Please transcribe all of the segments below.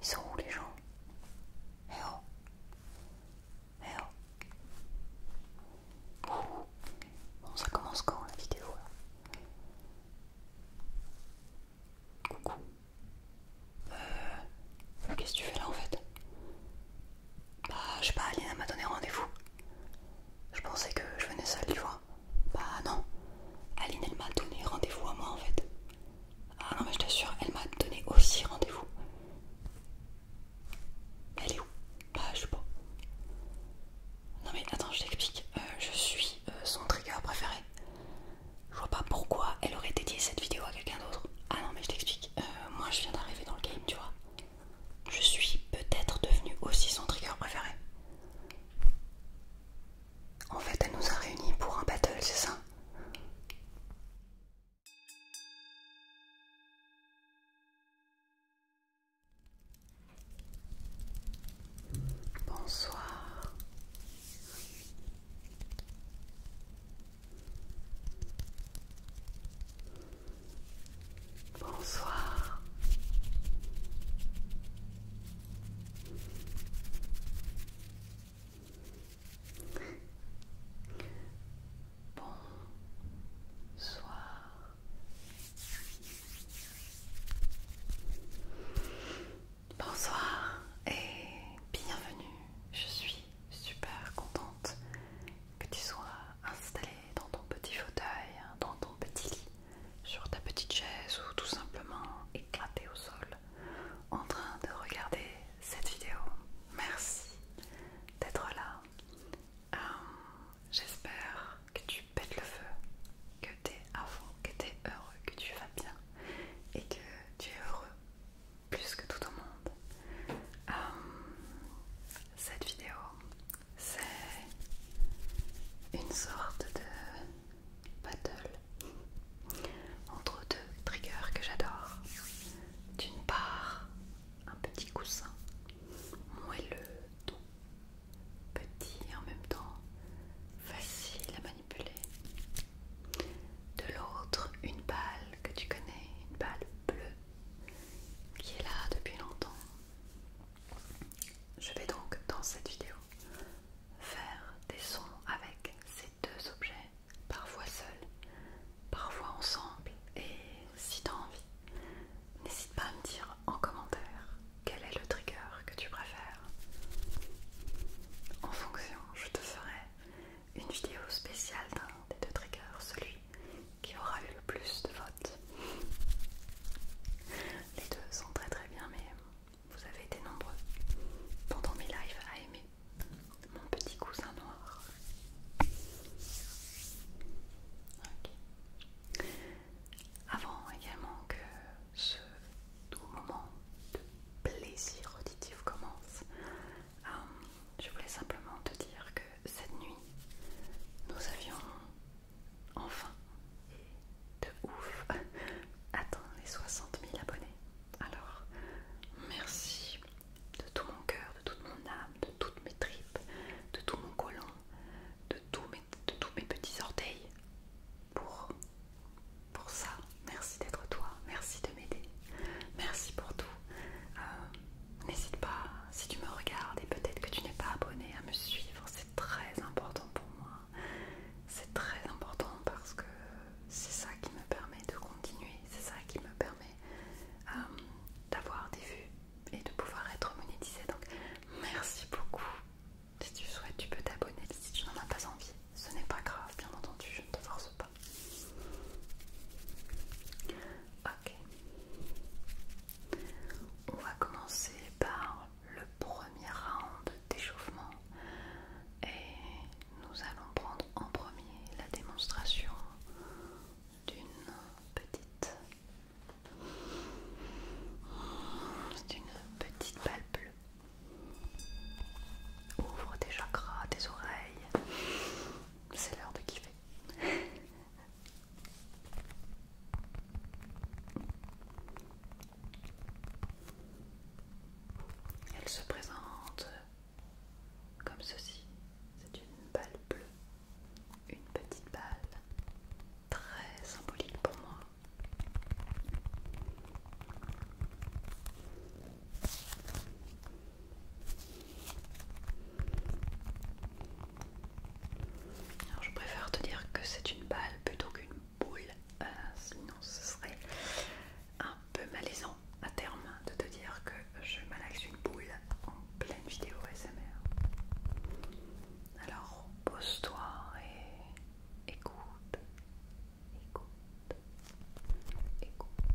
Ils sont où les gens Eh oh Eh oh Bon, ça commence quand la vidéo Coucou Euh. Qu'est-ce que tu fais là en fait Bah, je sais pas, Alina m'a donné rendez-vous. Je pensais que je venais seul tu vois. Bah non, Aline elle m'a donné rendez-vous à moi en fait. Ah non mais je t'assure, elle m'a donné aussi rendez-vous. Elle est où Bah je sais pas. Non mais attends, je t'explique. Euh, je suis euh, son trigger préféré. Je vois pas pourquoi elle aurait dédié cette vidéo à quelqu'un d'autre. Ah non mais je t'explique. Euh, moi je viens d'arriver dans le game, tu vois je suis peut-être devenue aussi son trigger préféré. En fait, elle nous a réunis pour un battle, c'est ça Bonsoir. Bonsoir. Bonsoir. Bonsoir et bienvenue. Je suis super contente que tu sois installé dans ton petit fauteuil, hein, dans ton petit lit, sur ta petite chaise ou tout simplement éclaté au sol en train de regarder cette vidéo. Merci d'être là. Euh, j'espère que tu pètes le feu, que t'es à fond, que tu es heureux, que tu vas bien et que tu es heureux plus que tout au monde. Euh, cette vidéo c'est une sorte de battle entre deux triggers que j'adore. D'une part, un petit coussin moelleux, doux, petit en même temps facile à manipuler. De l'autre, une balle que tu connais, une balle bleue qui est là depuis longtemps je vais donc dans cette vidéo faire des sons avec ces deux objets, parfois seuls, parfois ensemble et si t'as envie, n'hésite pas à me dire en commentaire quel est le trigger que tu préfères. En fonction, je te ferai une vidéo spéciale d'un des deux triggers, celui qui aura eu le plus de votes. Les deux sont très très bien, mais vous avez été nombreux pendant mes lives à aimer mon petit cousin noir. Avant également que ce doux moment de plaisir auditif commence, euh, je voulais simplement te dire que cette nuit, nous avions enfin de ouf atteint les 60 000 abonnés. Alors, merci de tout mon cœur, de toute mon âme, de toutes mes tripes, de tout mon colon, de tous mes, de tous mes petits orteils pour, pour ça. Merci d'être toi, merci de m'aider, merci pour tout. Euh, n'hésite pas, si tu me regardes et peut-être que tu n'es pas abonné, à me suivre. C'est très important pour moi. C'est très important parce que c'est ça qui me permet de continuer. C'est ça qui me permet euh, d'avoir des vues et de pouvoir être monétisé. Donc merci beaucoup. Si tu souhaites, tu peux t'abonner. Si tu n'en as pas envie, ce n'est pas grave, bien entendu, je ne te force pas. Ok. On va commencer par le premier round d'échauffement et nous allons prendre en premier la démonstration d'une petite petite balle bleue. Ouvre tes chakras, tes oreilles. C'est l'heure de kiffer. Elle se présente comme ceci. C'est une balle bleue, une petite balle très symbolique pour moi. Alors je préfère te dire que c'est une balle plutôt qu'une boule, euh, sinon ce serait un peu malaisant à terme de te dire que je malaxe une boule en pleine vidéo SMR. Alors pose-toi et écoute, écoute, écoute.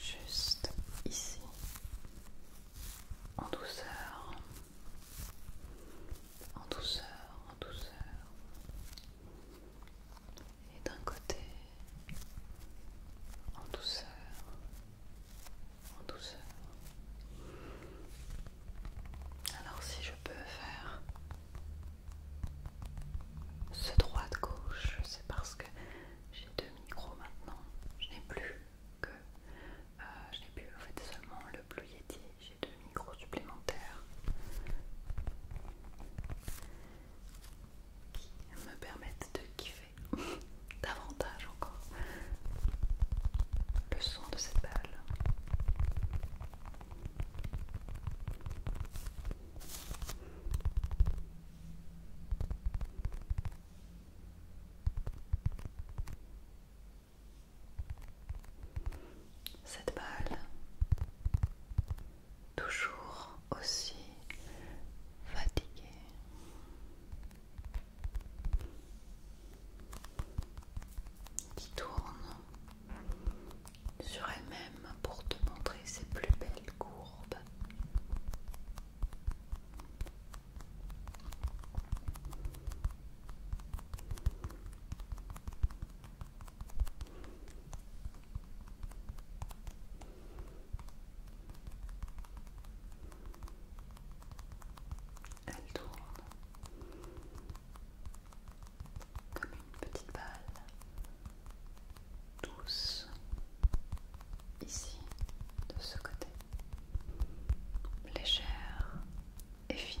Juste ici, en douceur, en douceur, en douceur, et d'un côté en douceur, en douceur. Alors si je peux faire ce de gauche, c'est parce que j'ai deux micros maintenant. Je n'ai plus que, euh, je n'ai plus en fait seulement le Blue Yeti. J'ai deux micros supplémentaires qui me permettent de kiffer davantage encore le son de cette balle. Cette balle toujours aussi fatigué. Qui tourne sur elle-même pour te montrer ses plus belles courbes. Elle tourne comme une petite balle douce ici de ce côté légère et fine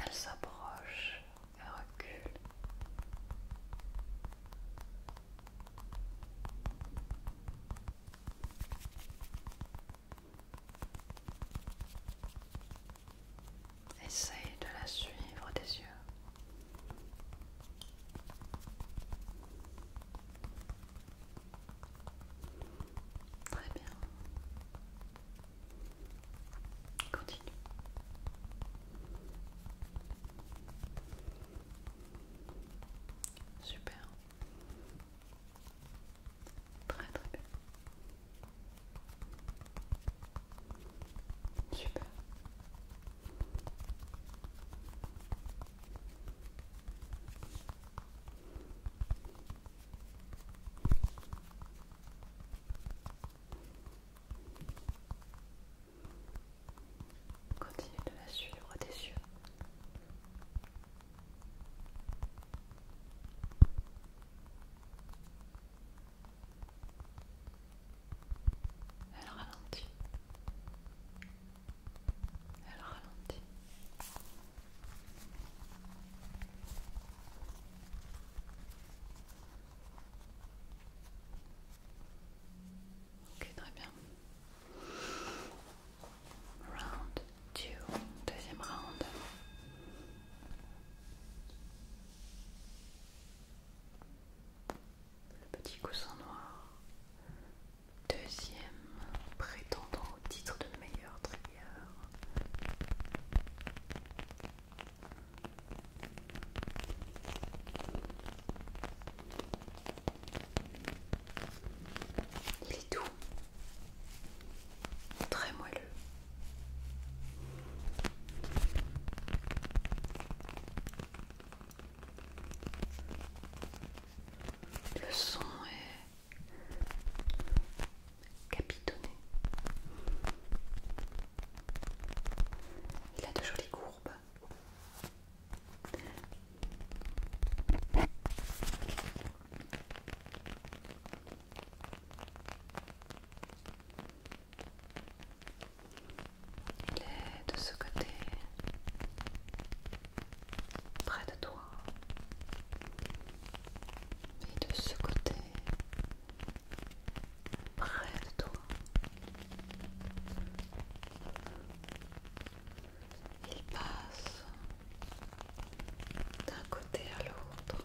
Elle s'approche, elle recule. Essaye de la suivre des yeux. Très bien. Continue. Super. Très très bien. Super. Continue de la suivre tes yeux elle ralentit. Elle ralentit. Ok, très bien. Round deuxième round. Le petit coussin noir. Deuxième prétendant au titre de meilleur trigger. Il est doux très moelleux. Le son est capitonné. Il a de jolies courbes. Il est de ce côté, près de toi, et de ce côté, près de toi. Il passe d'un côté à l'autre.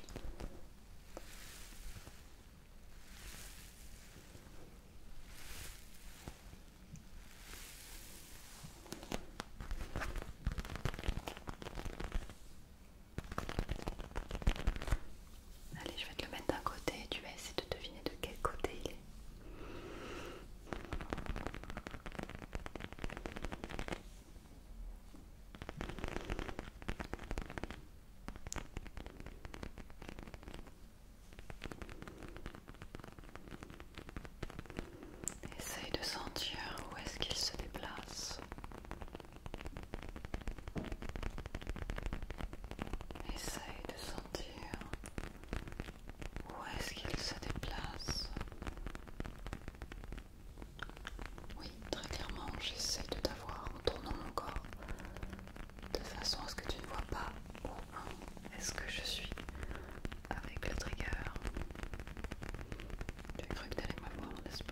Allez, je vais te le mettre d'un côté et tu vas essayer de deviner de quel côté il est. Essaye de sentir où est-ce qu'il se déplace. Essaye de sentir où est-ce qu'il se déplace oui, très clairement, j'essaie de t'avoir en tournant mon corps de façon à ce que tu ne vois pas où est-ce que je suis avec le trigger. Tu as cru que me m'avoir, n'est-ce pas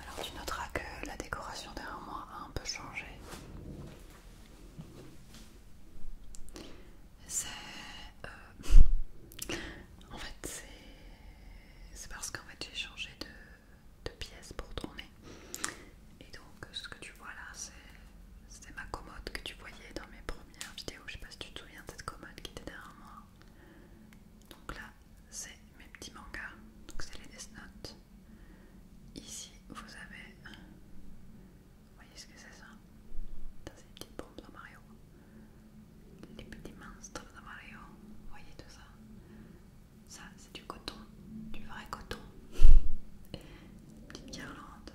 Alors tu noteras que la décoration derrière moi a un peu changé. C'est... Euh, en fait c'est... C'est parce qu'en fait j'ai changé de de pièces pour tourner. Et donc, ce que tu vois là, c'est ma commode que tu voyais dans mes premières vidéos. Je sais pas si tu te souviens de cette commode qui était derrière moi. Donc là, c'est mes petits mangas. Donc, c'est les Death Note. Ici, vous avez. voyez ce que c'est ça C'est les petites bombes de Mario. Les petits monstres de Mario. voyez tout ça ça, c'est du coton, du vrai coton. Petite guirlandes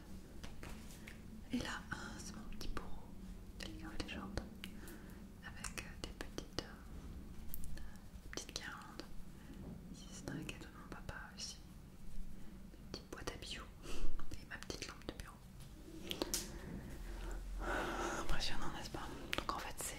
Et là, c'est mon petit bourreau, les légende avec euh, des petites, euh, petites guirlandes. Ici, c'est un cadeau de mon papa aussi. des petite boîte à bijoux et ma petite lampe de bureau. Impressionnant, n'est-ce pas Donc en fait, c'est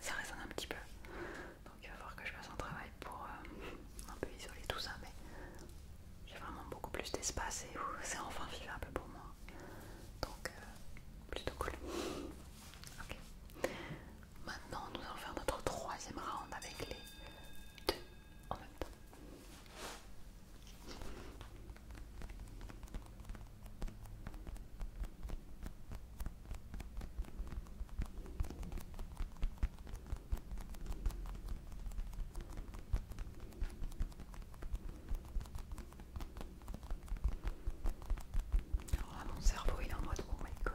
ça résonne un petit peu. Donc il va falloir que je fasse un travail pour euh, un peu isoler tout ça, mais j'ai vraiment beaucoup plus d'espace et c'est enfin vivable pour moi. Donc euh, plutôt cool. Ok. Maintenant, nous allons faire notre troisième round avec les deux en même temps. Oh, mon cerveau il est en mode oh my god.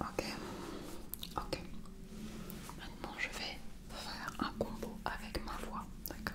Ok, ok. Maintenant, je vais faire un combo avec ma voix, d'accord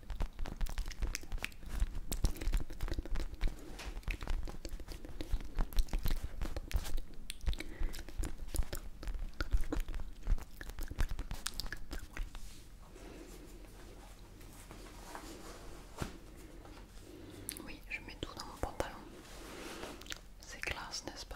Oui, je mets tout dans mon pantalon. C'est classe, n'est-ce pas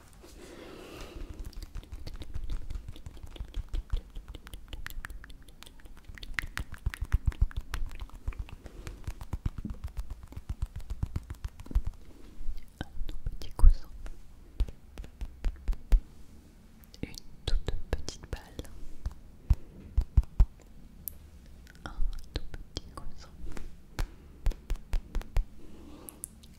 Un tout petit coussin, une toute petite balle, un tout petit coussin.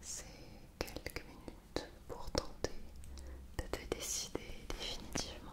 C'est quelques minutes pour tenter de te décider définitivement.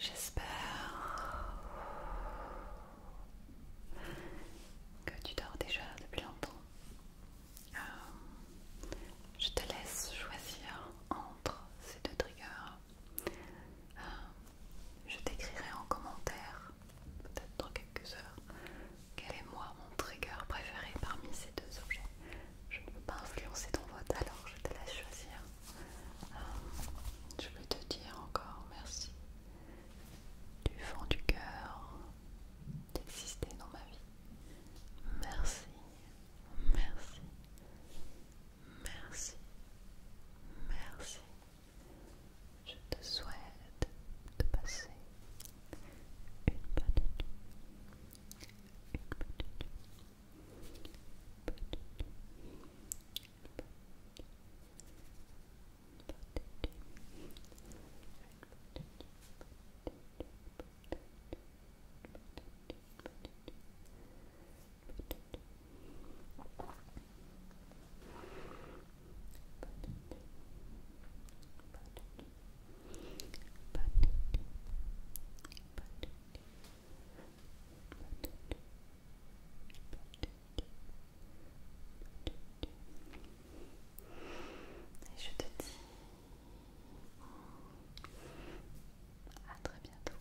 J'espère que tu dors déjà depuis longtemps. Euh, je te laisse choisir entre ces deux triggers. Euh, je t'écrirai en commentaire peut-être dans quelques heures, quel est moi mon trigger préféré parmi ces deux objets. Je ne peux pas influencer ton vote, alors je te laisse choisir. Euh, je vais te dire encore merci du fond du cœur d'exister dans ma vie. Merci, merci, merci, merci. Je te souhaite de passer une bonne et je te dis à très bientôt.